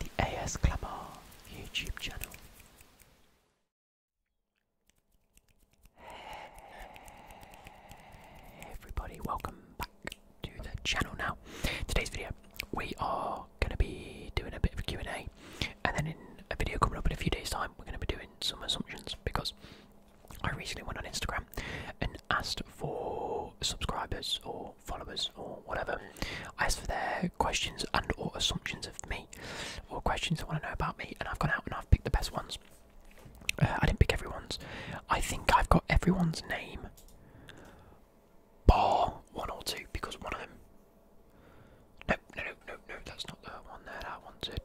The AS Clamar YouTube channel. Hey everybody, welcome back to the channel now. Today's video, we are going to be doing a bit of a Q&A and then in a video coming up in a few days time, we're going to be doing some assumptions because I recently went on Instagram and asked for subscribers or followers or whatever. I asked for their questions and or assumptions of me or questions they want to know about me and I've gone out and I've picked the best ones. Uh, I didn't pick everyone's. I think I've got everyone's name bar one or two because one of them no, no, no, no, no, that's not the one There, that I wanted.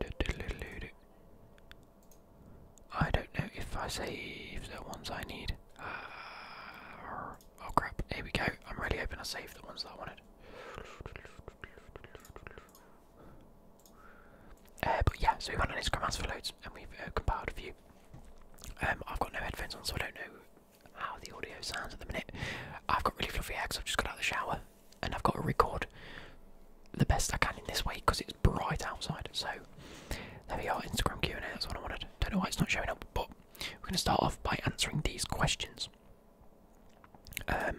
I don't know if I save the ones I need. Uh, oh crap, here we go. I'm really hoping I saved the ones that I wanted. Uh, but yeah, so we went on Instagram asked for loads and we've uh, compiled a few. Um, I've got no headphones on, so I don't know how the audio sounds at the minute. I've got really fluffy hair because I've just got out of the shower and I've got to record the best I can in this way because it's bright outside. So there we are, Instagram Q&A. That's what I wanted. Don't know why it's not showing up, but we're going to start off by answering these questions. Um,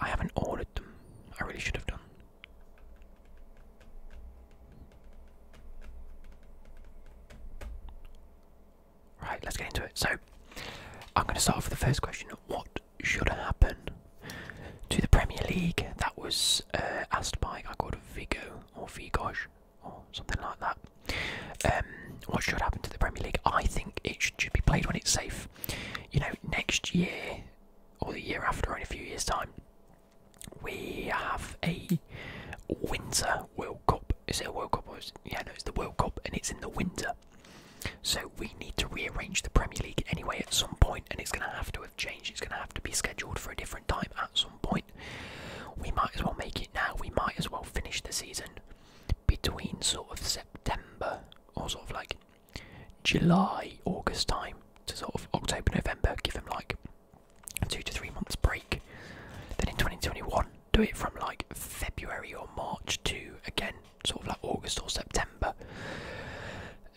I haven't ordered them. I really should have done. Right, let's get into it. So, I'm going to start off with the first question. What should happen to the Premier League. That was uh, asked by I called Vigo or Vigosh or something like that. Um, what should happen to the Premier League? I think it should, be played when it's safe. You know, next year or the year after, or in a few years' time, we have a winter World Cup. Is it a World Cup? Or yeah, no, it's the World Cup, and it's in the winter. So we need to rearrange the Premier League anyway at some point, and it's going to have to have changed. It's going to have to be scheduled for a different time at some point. We might as well make it now. We might as well finish the season between sort of September or sort of like July, August time to sort of October, November. Give them like a two to three months break. Then in 2021, do it from like February or March to again sort of like August or September.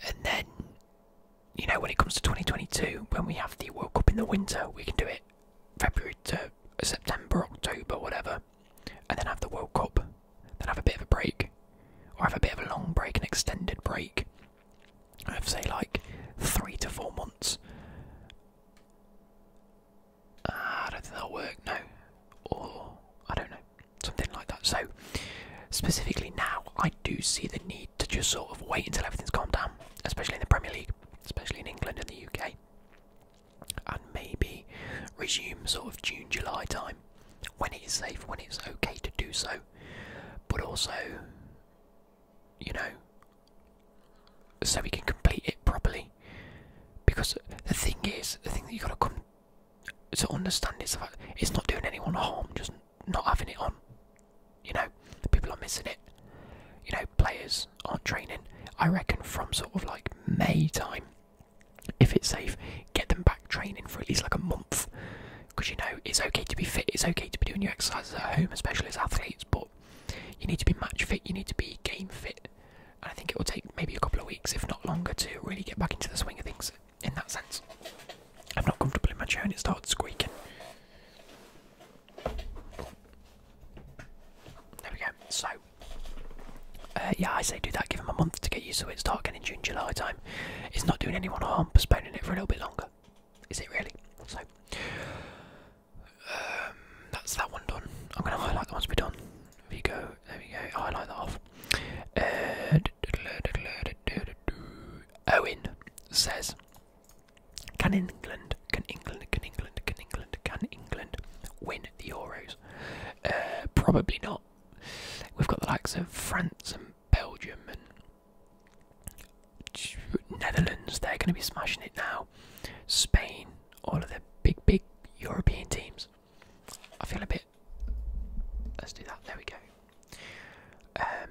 And then, you know, when it comes to 2022, when we have the World Cup in the winter, we can do it February to September, October, whatever, and then have the World Cup, then have a bit of a break, or have a bit of a long break, an extended break. I have say like three to four months Ah, I don't think that'll work, no. Or, I don't know, something like that. So, specifically now, I do see the need to just sort of wait until everything's calmed down, especially in the Premier League, especially in England and the UK, and maybe resume sort of June, July time when it is safe, when it's okay to do so, but also, you know, so we can complete it properly. Because the thing is, the thing that you've got to come to understand, it's not doing anyone harm, just not having it on. You know, people are missing it. You know, players aren't training. I reckon from sort of like May time, if it's safe, get them back training for at least like a month. Because you know, it's okay to be fit, it's okay to be doing your exercises at home, especially as athletes, but you need to be match fit, you need to be game fit, and I think it will take maybe a couple of weeks, if not longer, to really get back into the swing of things in that sense. I'm not comfortable in my chair and it started squeaking. There we go. So, uh, yeah, I say do that. Give him a month to get used to it. Start again in June, July time. It's not doing anyone harm, postponing it for a little bit longer. Is it really? So, um, that's that one done. I'm going to highlight the ones we've done we go, there we go, highlight that off. Uh, Owen says, can England, can England, can England, can England, can England win the Euros? Uh, probably not. We've got the likes of France and Belgium and Netherlands, they're going to be smashing it now. Spain, all of the big, big European teams. I feel a bit. Let's do that. There we go. Um,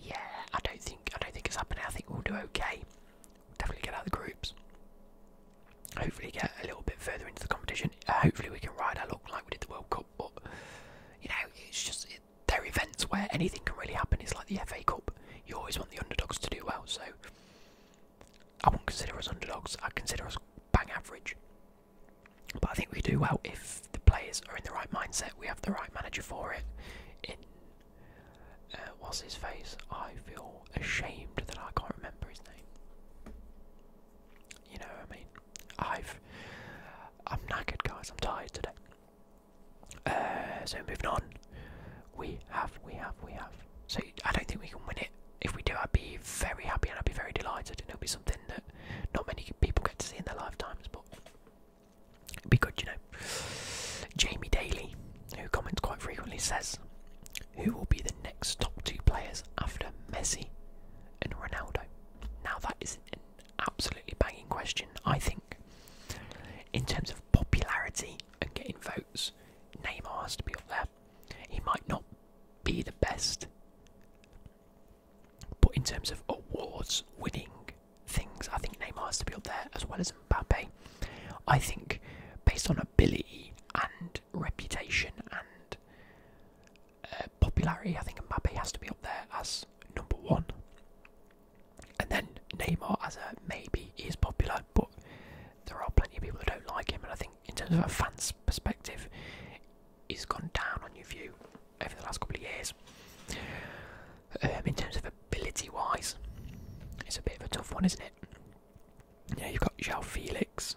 yeah, I don't think I don't think it's happening. I think we'll do okay. definitely get out of the groups. Hopefully, get a little bit further into the competition. Uh, hopefully, we can ride our luck like we did the World Cup. But you know, it's just there are events where anything can really happen. It's like the FA Cup. You always want the underdogs to do well. So I wouldn't consider us underdogs. I consider us bang average. But I think we do well if the players are in the right mindset. We have the right manager for it. In uh, what's his face? I feel ashamed that I can't remember his name. You know what I mean? I've I'm knackered, guys. I'm tired today. Uh, so moving on, we have, we have, we have. So I don't think we can win it if we do, I'd be very happy and I'd be very delighted, and it'll be something that not many people get to see in their lifetimes, but it'd be good, you know. Jamie Daly, who comments quite frequently, says, "Who will be the next top two players after Messi and Ronaldo?" Now that is an absolutely banging question. I think, in terms of popularity and getting votes, Neymar has to be up there. He might not be the best, but in terms of awards winning things, I think Neymar has to be up there as well as Mbappe. I think, based on ability and reputation and uh, popularity, I think Mbappe has to be up there as number one. And then Neymar as a maybe is popular, but there are plenty of people that don't like him, and I think in terms of a fan's perspective, he's gone down on your view over the last couple of years. Um, in terms of ability-wise, it's a bit of a tough one, isn't it? You know, you've got João Felix,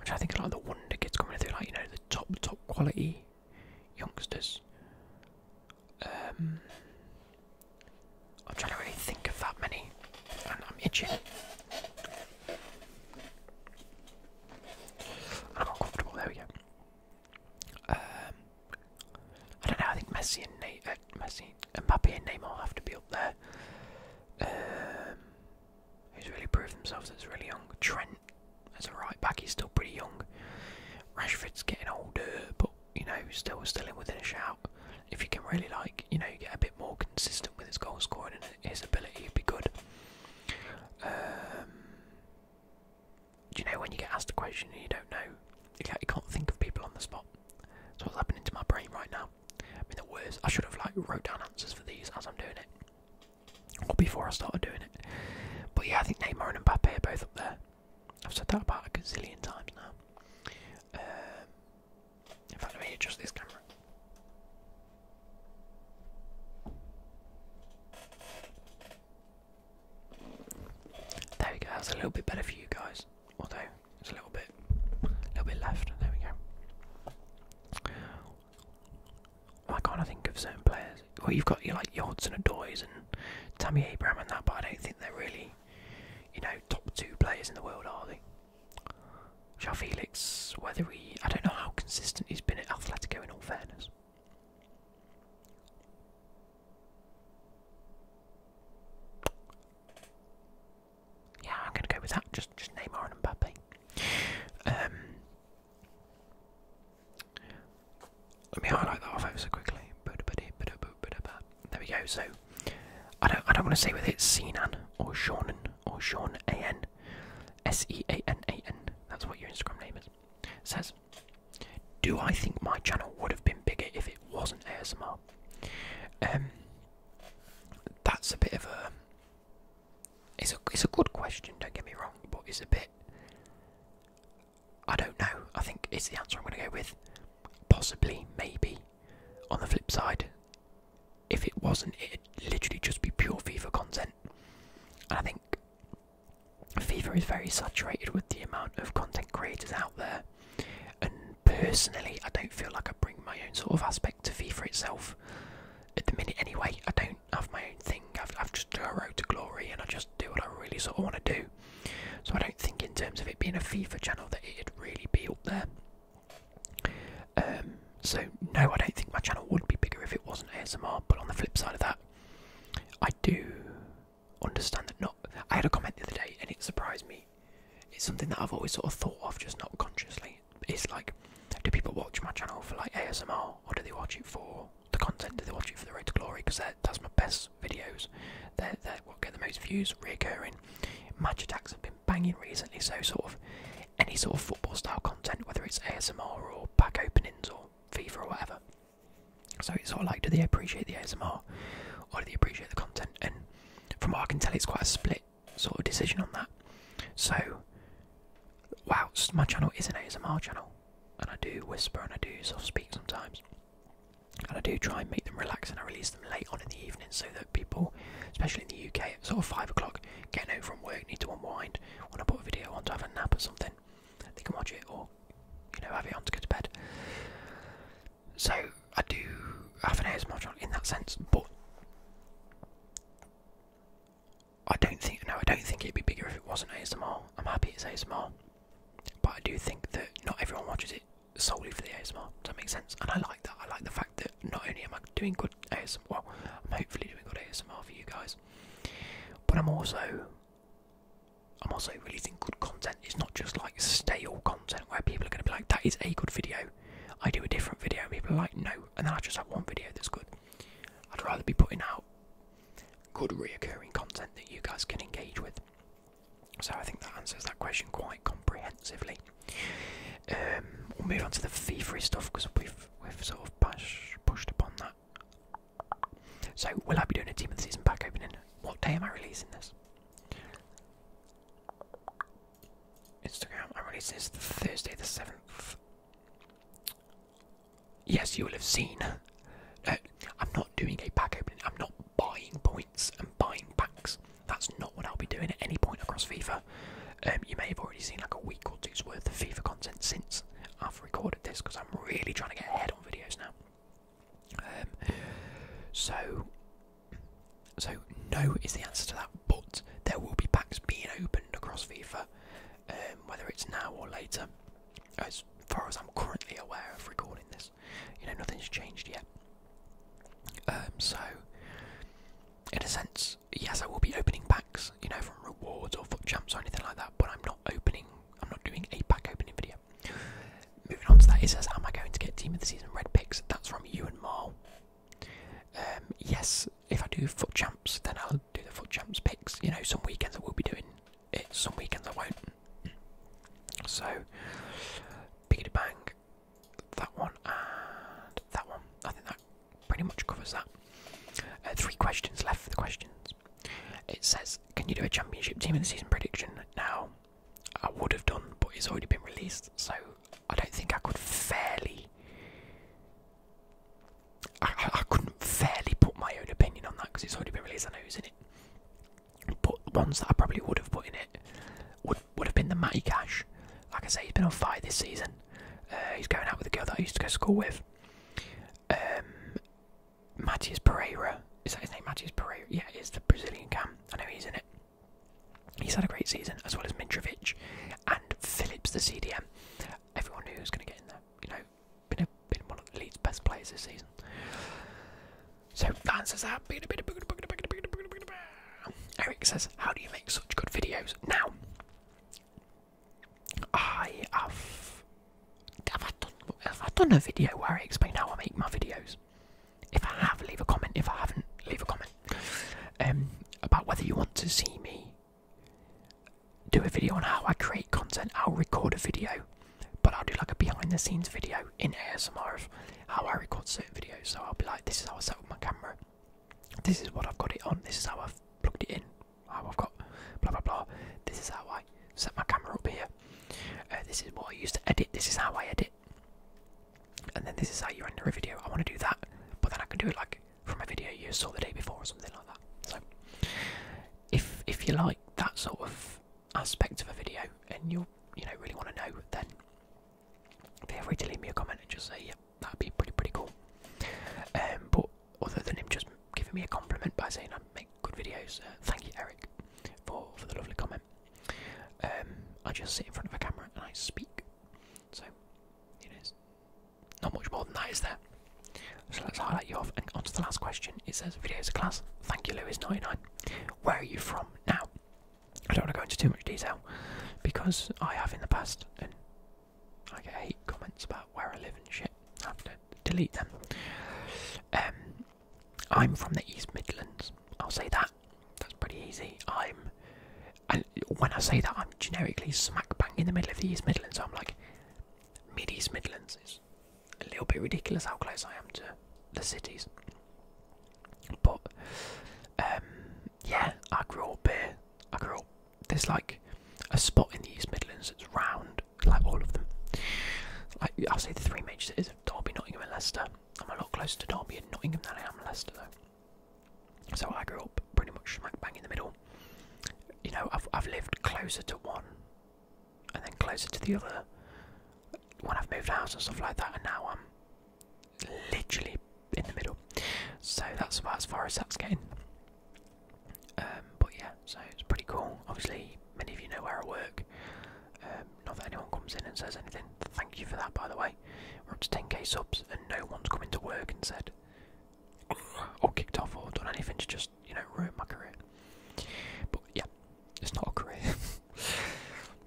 which I think are like the wonder kids coming through, like you know, the top top quality youngsters. Um, I'm trying to really think of that many, and I'm itching. I'm not comfortable. There we go. Um, I don't know. I think Messi and Na uh, Messi, Mbappe and Neymar have to be up there. who's um, really proved themselves? That's really young. Trent as a right back, he's still pretty young. Rashford's getting older, but you know, still still in within a shout if you can really like you know get a bit more consistent with his goal scoring and his ability, it'd be good. Um, do you know when you get asked a question and you don't know, you can't, you can't think of people on the spot. That's what's happening to my brain right now? I mean, the worst. I should have like wrote down answers for these as I'm doing it, or before I started doing it. But yeah, I think Neymar and Mbappe are both up there. I've said that about a gazillion times now. Um, in fact, let me adjust this camera. There we go, that's a little bit better for you guys. Although it's a little bit a little bit left. There we go. I can't think of certain players? Well you've got your like Yodson and Adoys and Tammy Abraham and that, but I don't think they're really, you know, top two players in the world, are they? João Felix, whether he. I don't know how consistent he's been at Atletico in all fairness. Yeah, I'm going to go with that. Just, just Neymar and Mbappe. let um, me highlight that off ever so quickly. There we go. So I don't, I don't want to say whether it's Sinan or Seanan or Sean A N S E A N A N. That's what your Instagram name is. Says, do I think my channel would have been bigger if it wasn't ASMR? Um, that's a bit of a. It's a it's a good question. Don't get me wrong, but it's a bit. I don't know. I think it's the answer I'm going to go with. Possibly, maybe. On the flip side, if it wasn't, it'd literally just be pure FIFA content. And I think FIFA is very saturated with the amount of content creators out there. And personally, I don't feel like I bring my own sort of aspect to FIFA itself. At the minute, anyway, I don't have my own thing. I've, just done a road to glory and I just do what I really sort of want to do. So I don't think, in terms of it being a FIFA channel, that it'd really be up there. Um, so no, I don't think my channel would be bigger if it wasn't ASMR. But on the flip side of that, I do understand that not. I had a comment the other day, and it surprised me. It's something that I've always sort of thought of, just not consciously. It's like, do people watch my channel for like ASMR, or do they watch it for the content? Do they watch it for the road to glory? Because that's my best videos. That are they get the most views, reoccurring banging. Match attacks have been banging recently, so sort of any sort of football style content, whether it's ASMR or pack openings or FIFA or whatever. So it's sort of like, do they appreciate the ASMR or do they appreciate the content? And from what I can tell, it's quite a split sort of decision on that. So, whilst my channel is an ASMR channel, and I do whisper and I do soft speak sometimes, and I do try and make them relax, and I release them late on in the evening so that people, especially in the UK, at sort of five o'clock, getting home from work, need to unwind. want to put a video on to have a nap or something, they can watch it or you know have it on to go to bed. So I do have an ASMR channel in that sense, but I don't think no, I don't think it'd be bigger if it wasn't ASMR. I'm happy it's ASMR, but I do think that not everyone watches it solely for the ASMR. Does that make sense? And I like that. I like the fact that not only am I doing good ASMR, well, I'm hopefully doing good ASMR for you guys, but I'm also I'm also releasing good content. It's not just like stale content where people are going to be like, "That is a good video." I do a different video, people are like, "No," and then I just have one video that's good. I'd rather be putting out good reoccurring content that you guys can engage with. So I think that answers that question quite comprehensively. Um, we'll move on to the fee-free stuff because we've we've sort of push, pushed upon that. So will I be doing a team of the season pack opening? What day am I releasing this? Instagram. I release this Thursday the seventh. Yes, you will have seen. Uh, I'm not doing a pack opening. I'm not buying points and buying packs. That's not what I'll be doing at any point across FIFA. Um, you may have already seen like a week or two's worth of FIFA content since I've recorded this because I'm really trying to get ahead on videos now. Um, so, so no is the answer to that. But there will be packs being opened across FIFA, um, whether it's now or later. As far as I'm currently aware of recording this, you know nothing's changed yet. so in a sense, yes, I will be opening packs, you know, from rewards or foot champs or anything like that, but I'm not opening, I'm not doing a pack opening video. Moving on to that, it says, Am I going to get Team of the Season Red Picks? That's from you and Mar. Um, yes, if I do foot champs, then I'll do the foot champs picks. You know, some weekends I will be doing it, some weekends I won't. So, biggity bang, that one, and that one. I think that pretty much covers that. Uh, three questions left for the questions. It says, Can you do a championship team of the season prediction? Now, I would have done, but it's already been released, so I don't think I could fairly. I, couldn't fairly put my own opinion on that because it's already been released. I know who's in it, but the ones that I probably would have put in it would would have been the Matty Cash. Like I say, he's been on fire this season. Uh, he's going out with a girl that I used to go to school with. Um, Matias Pereira. Is that his name? Matias Pereira. Yeah, it's the Brazilian cam. I know he's in it. He's had a great season, as well as Mitrovic and Phillips, the CDM. Everyone knew who was going to get in there. You know, been, a, been one of the Leeds' best players this season. So that answers that. Eric says, How do you make such good videos? Now, I have. Have I, done, have I done a video where I explain how I make my videos? If I have, leave a comment. If I haven't, leave a comment um, about whether you want to see me do a video on how I create content. I'll record a video, but I'll do like a behind the scenes video in ASMR how I record certain videos. So I'll be like, this is how I set up my camera. This is what I've got it on. This is how I've plugged it in. How I've got blah blah blah. This is how I set my camera up here. Uh, this is what I used to edit. This is how I edit. And then this is how you render a video. I want to do that, but then I can do it like from a video you saw the day before or something like that. So if if you like that sort of aspect of a video and you you know really want to know, then Feel free to leave me a comment and just say, "Yep, yeah, that'd be pretty pretty cool." Um, but other than him just giving me a compliment by saying I make good videos, uh, thank you, Eric, for for the lovely comment. Um, I just sit in front of a camera and I speak, so you know, it's not much more than that, is there? So let's highlight you off and on to the last question. It says, "Videos a class." Thank you, Louis 99 Where are you from now? I don't want to go into too much detail because I have in the past and I get hate comments about where I live and shit. I have to delete them. Um, I'm from the East Midlands. I'll say that. That's pretty easy. I'm, and when I say that, I'm generically smack bang in the middle of the East Midlands. So I'm like mid East Midlands. It's a little bit ridiculous how close I am to the cities. But um, yeah, I grew up here. I grew up. There's like a spot in the East Midlands that's round, like all of them. Like I'll say the three major cities: Derby, Nottingham, and Leicester. I'm a lot closer to Derby and Nottingham than I am Leicester, though. So I grew up pretty much smack bang in the middle. You know, I've I've lived closer to one, and then closer to the other when I've moved house and stuff like that. And now I'm literally in the middle. So that's about as far as that's getting. Um, but yeah, so it's pretty cool. Obviously, many of you know where I work. Um, not that anyone comes in and says anything. Thank you for that, by the way. We're up to 10k subs, and no one's come into work and said, or kicked off, or done anything to just, you know, ruin my career. But yeah, it's not a career.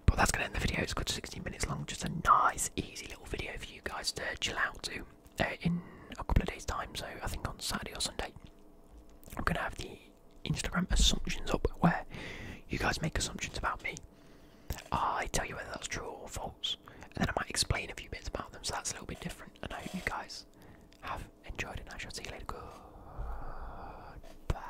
but that's going to end the video. It's got 16 minutes long. Just a nice, easy little video for you guys to chill out to uh, in a couple of days' time. So I think on Saturday or Sunday, I'm going to have the Instagram assumptions up where you guys make assumptions about me. I tell you whether that's true or false, and then I might explain a few bits about them. So that's a little bit different. And I hope you guys have enjoyed it. I shall see you later. Goodbye.